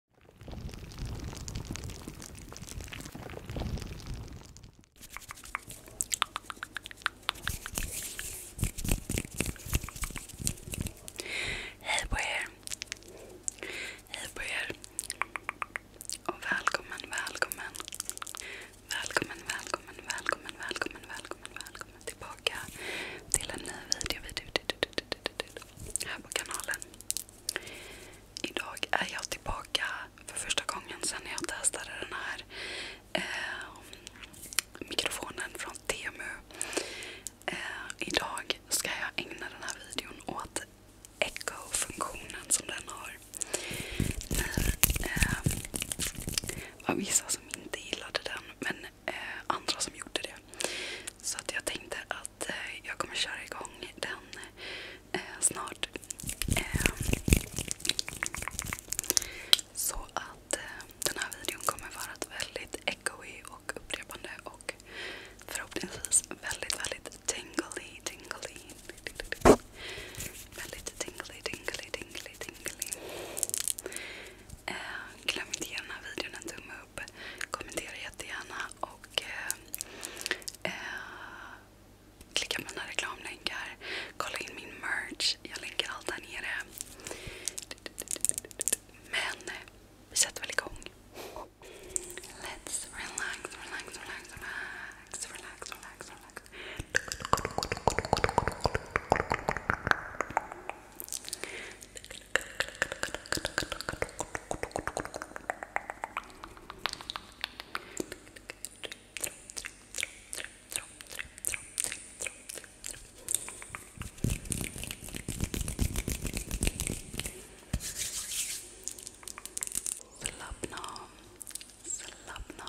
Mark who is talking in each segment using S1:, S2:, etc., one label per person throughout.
S1: Hej på er! Hej på er! Och välkommen, välkommen, välkommen, välkommen, välkommen, välkommen, välkommen, välkommen tillbaka till en ny video, video, video, video, video, video, video här på kanalen. Idag är jag tillbaka för första gången sedan jag testade den här eh, mikrofonen från Temu. Eh, idag ska jag ägna den här videon åt echo-funktionen som den har. Eh, var vissa som inte gillade den men eh, andra som gjorde det. Så att jag tänkte att att eh, jag kommer köra igång den eh, snart. Ehm, så att eh, den här videon kommer vara väldigt echoig och upprepande och förhoppningsvis väldigt, väldigt tingly, tingly. Väldigt tingly, tingly, tingly, tingly. Ehm, glöm inte ge den här videon en tumme upp. Kommentera jättegärna och eh, eh, klicka på mina reklamlänkar. Kolla in min merch. Jag länkar allt där nere. Men vi sätter väl igång. Let's relax, relax, relax, relax, relax, relax, relax. Slappna slappna Slappna av.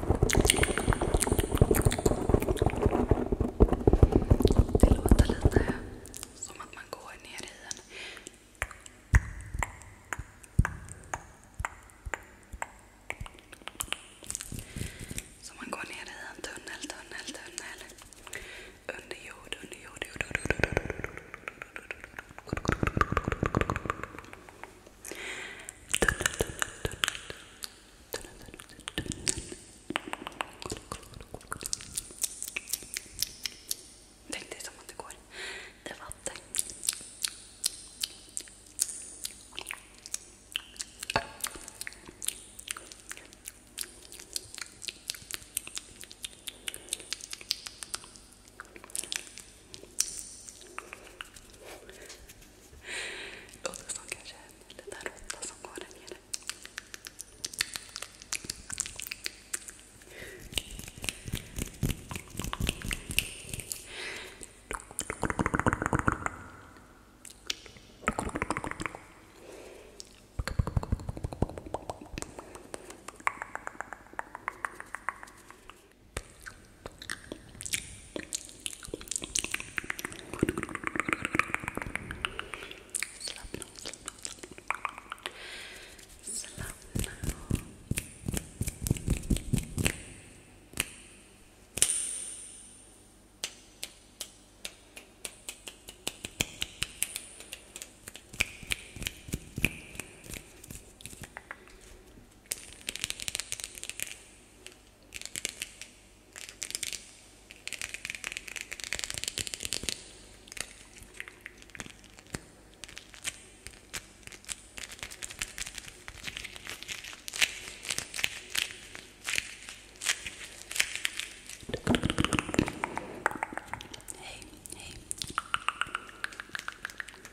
S1: Det låter lite som att man går ner i en... Som man går ner i en tunnel, tunnel, tunnel. Under jord, under jord, jord, jord, jord, jord, jord. Tunnel, tunnel, tunnel. Tänk dig som att det går i vatten. Låter som kanske en liten råtta som går där nere. Slappna av, slappna av. Slappna av. Hej, hej.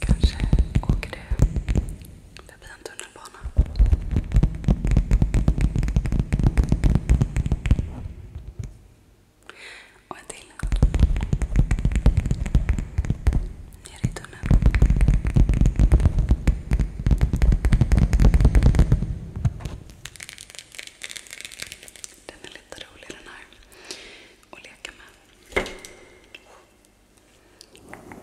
S1: Kanske åker du förbi vid en tunnelbana. Och en till. Ner i tunneln. Den är lite rolig den här att leka med.
S2: Jajamän.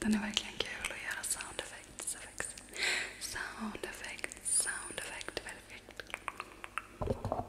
S2: Den är verkligen kul att göra sound effects. effects. Sound effects, sound effect, perfekt. DUNSANDE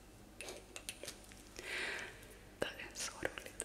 S2: Det är så roligt.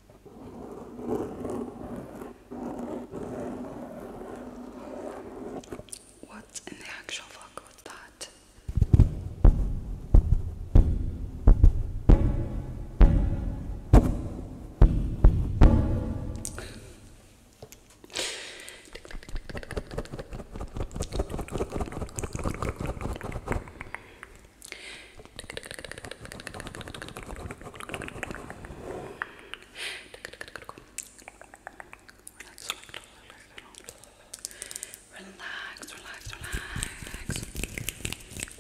S2: What in the actual fuck was that? Relax, relax, relax.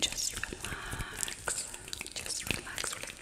S2: Just relax. Just relax, relax.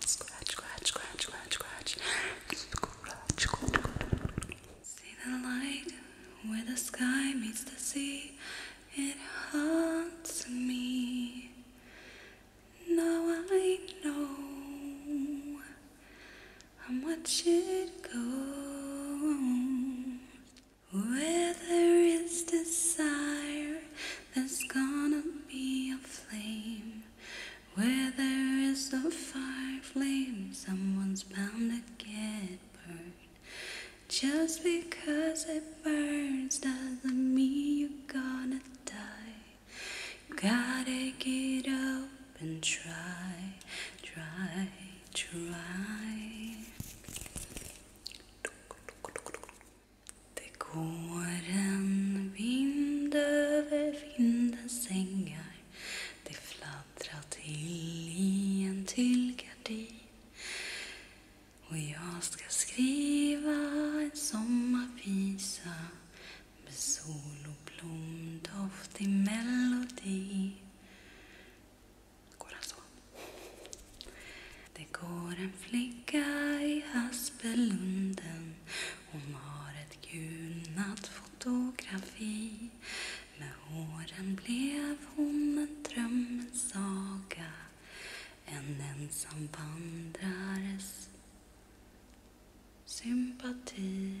S2: Scratch, scratch, scratch, scratch, scratch. Scratch, scratch, See the light where the sky meets the sea. It haunts me. Now I know how much it goes. Where there is desire, there's gonna be a flame. Where there is a fire flame, someone's bound to get burned. Just because it burns doesn't mean you're gonna die. You gotta get up and try, try, try. Det går en vind över vindens sängar Det fladdrar till i en tyllgardin och jag ska skriva en sommarvisa med sol och blomdoft i melodi Går han så? Det går en flicka i Aspelunden Hon har ett gulnat fotografi Med åren blev hon en drömmens saga En ensam vandrares sympati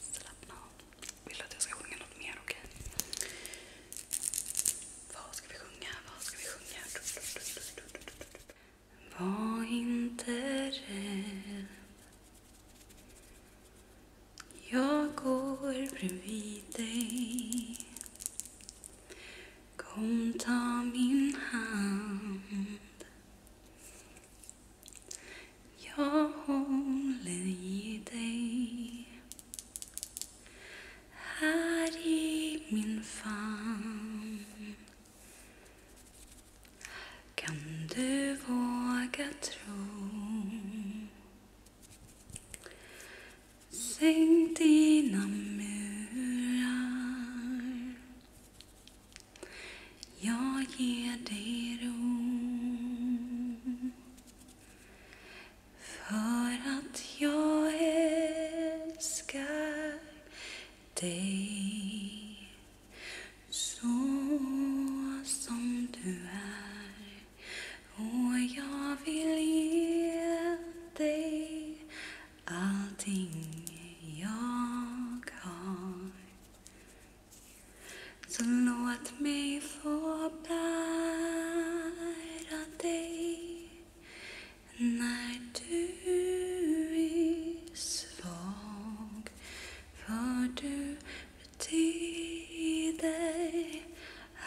S2: Slappna av. Vill du att jag ska sjunga något mer? Okej. Vad ska vi sjunga? Vad ska vi sjunga? Var inte rädd. Jag går bredvid dig. Kom, ta min hand. Jag håller i dig här i min famn Kan du våga tro Sänk dina murar jag ger dig ro för att jag älskar dig så som du är och jag vill ge dig allting jag har så låt mig få bära dig när du är svag. För du betyder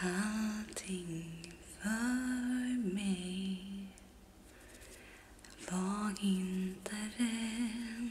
S2: allting för mig. Var inte rädd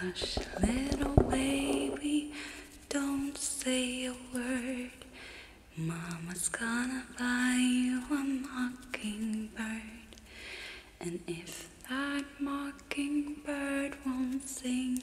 S2: Hush, little baby, don't say a word. Mama's gonna buy you a mockingbird. And if that mockingbird won't sing,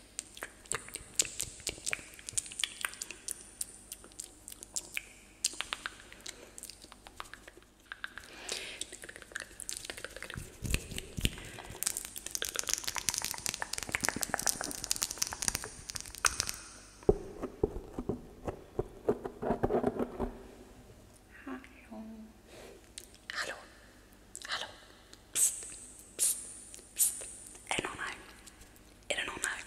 S2: Hallå. Hallå. Hallå.
S1: Psst, psst, psst. Är det någon här? Är det någon här?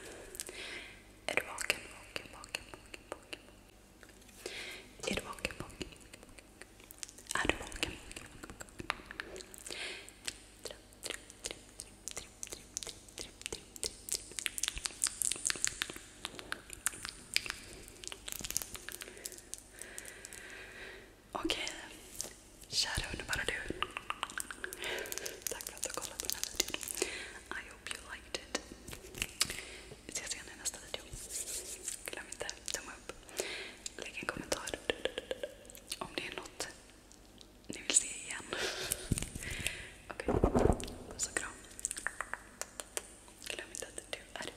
S1: Är du vaken? Vaken, vaken, vaken, vaken. Är du vaken? Vaken, Är du vaken? Okej, kära underbara du. Tack för att du kollade på den här videon. I hope you liked it. Vi ses igen i nästa video. Glöm inte tumma upp. Lägg en kommentar om det är något ni vill se igen. Okej, puss och kram. Glöm inte att du är